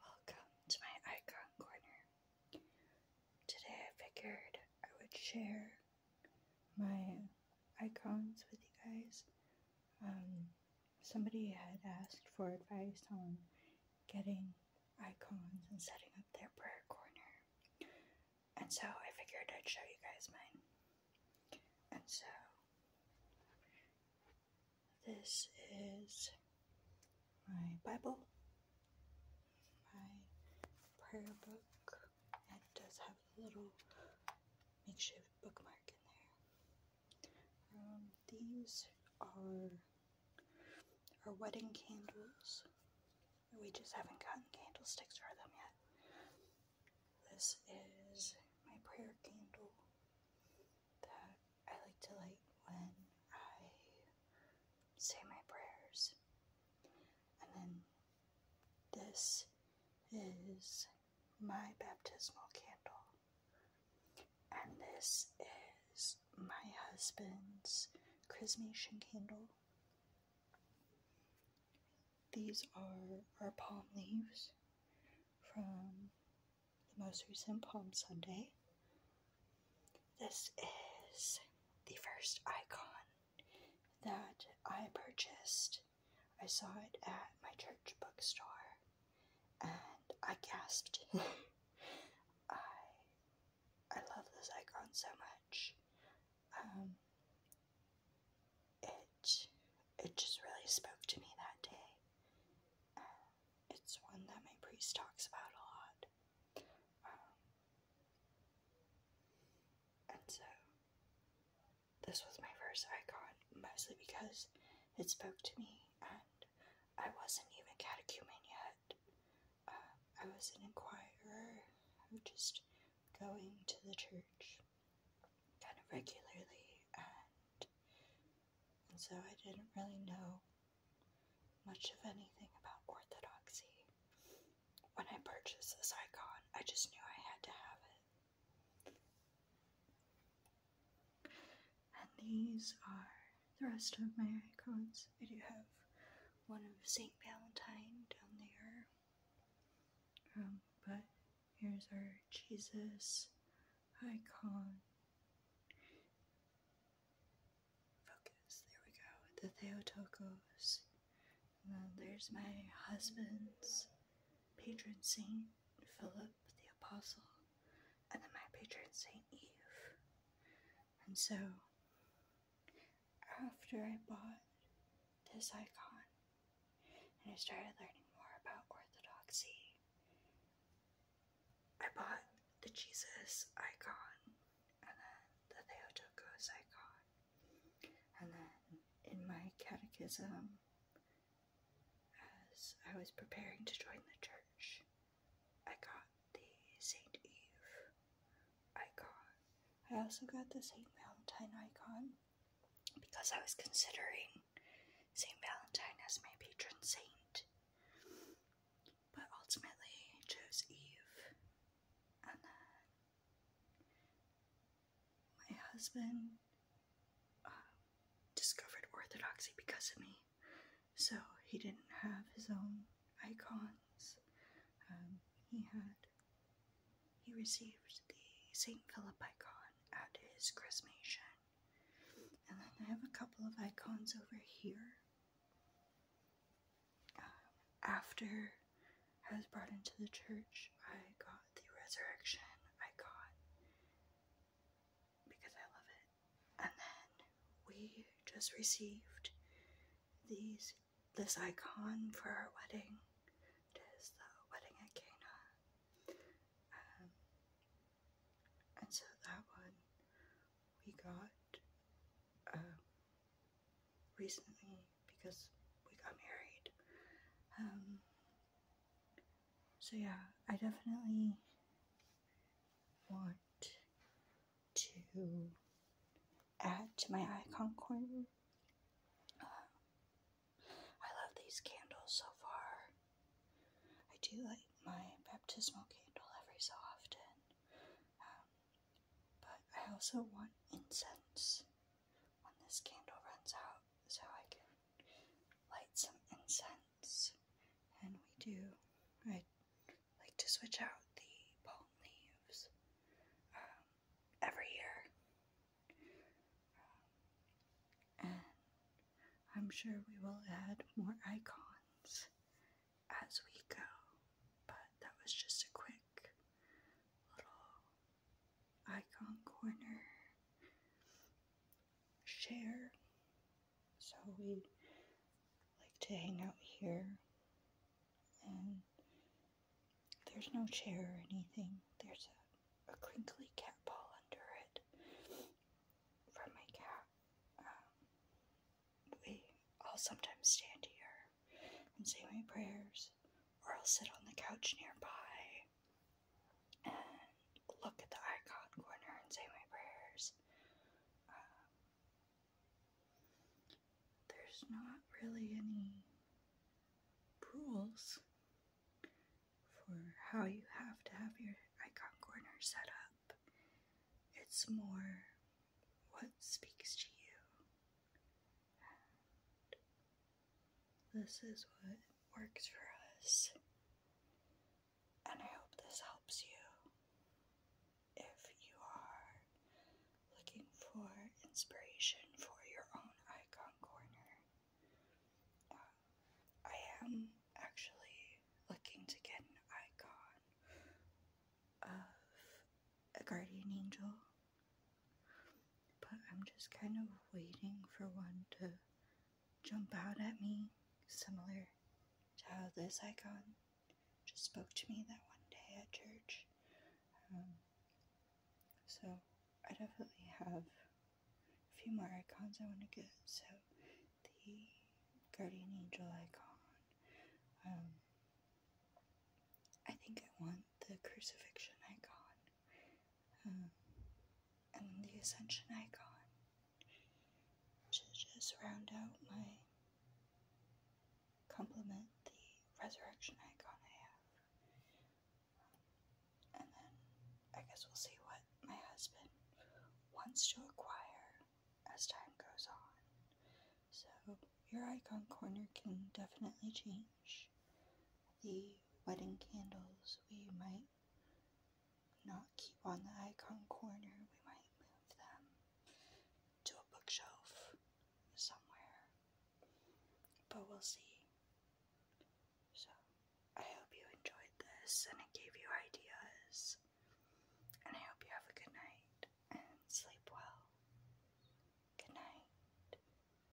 Welcome to my icon corner. Today I figured I would share my icons with you guys. Um, somebody had asked for advice on getting icons and setting up their prayer corner. And so I figured I'd show you guys mine. And so this is my Bible, my prayer book. It does have a little makeshift bookmark in there. Um, these are our wedding candles. We just haven't gotten candlesticks for them yet. This is my prayer candle that I like to light when I say my prayers. And then this is my baptismal candle. And this is my husband's chrismation candle. These are our palm leaves from the most recent Palm Sunday. This is the first icon that I purchased. I saw it at my church bookstore and I gasped. I I love this icon so much. Um, it it just really spoke to me that day. Um, it's one that my priest talks about a lot. Um, and so this was my first icon, mostly because it spoke to me, and I wasn't even catechumen yet. Um, I was an inquirer, just going to the church kind of regularly, and, and so I didn't really know much of anything about orthodoxy. When I purchased this icon, I just knew I had to have it. And these are the rest of my icons. I do have one of St. Valentine down there, um, but here's our Jesus icon. Focus, there we go, the Theotokos. then there's my husband's patron saint, Philip the Apostle. And then my patron saint, Eve. And so after I bought this icon and I started learning more about Orthodoxy, I bought the Jesus icon and then the Theotokos icon. And then in my catechism, as I was preparing to join the church, I got the St. Eve icon. I also got the St. Valentine icon because I was considering St. Valentine as my patron saint. But ultimately, I chose Eve. And then my husband um, discovered Orthodoxy because of me. So he didn't have his own icon. Um, he had he received the St. Philip icon at his chrismation. And then I have a couple of icons over here. Um, after I was brought into the church, I got the resurrection icon because I love it. And then we just received these this icon for our wedding. It is the wedding at Cana. Um, and so that one we got um, recently because we got married. Um, so yeah, I definitely want to add to my icon corner. Uh, I love these candles so far. I do like my baptismal candle every so often, um, but I also want incense when this candle runs out so I can light some incense. And we do, I like to switch out the palm leaves um, every year. Um, and I'm sure we will add more icons as we go, but that was just a quick little icon corner share. So we like to hang out here. And there's no chair or anything. There's a, a crinkly cat ball under it from my cat. Um, we, I'll sometimes stand here and say my prayers, or I'll sit on the couch nearby look at the icon corner and say my prayers. Um, there's not really any rules for how you have to have your icon corner set up. It's more what speaks to you. this is what works for us. And I hope this helps you if you are looking for inspiration for your own icon corner. Uh, I am actually looking to get an icon of a guardian angel, but I'm just kind of waiting for one to jump out at me, similar to how this icon just spoke to me that one day at church. Um, so I definitely have a few more icons I want to get. So the guardian angel icon. Um, I think I want the crucifixion icon. Um, and the ascension icon to just round out my complement the resurrection icon I have. And then I guess we'll see what my husband wants to acquire as time goes on. So your icon corner can definitely change the wedding candles. We might not keep on the icon corner. We might move them to a bookshelf somewhere. But we'll see. So, I hope you enjoyed this and it gave you ideas. And I hope you have a good night and sleep well. Good night.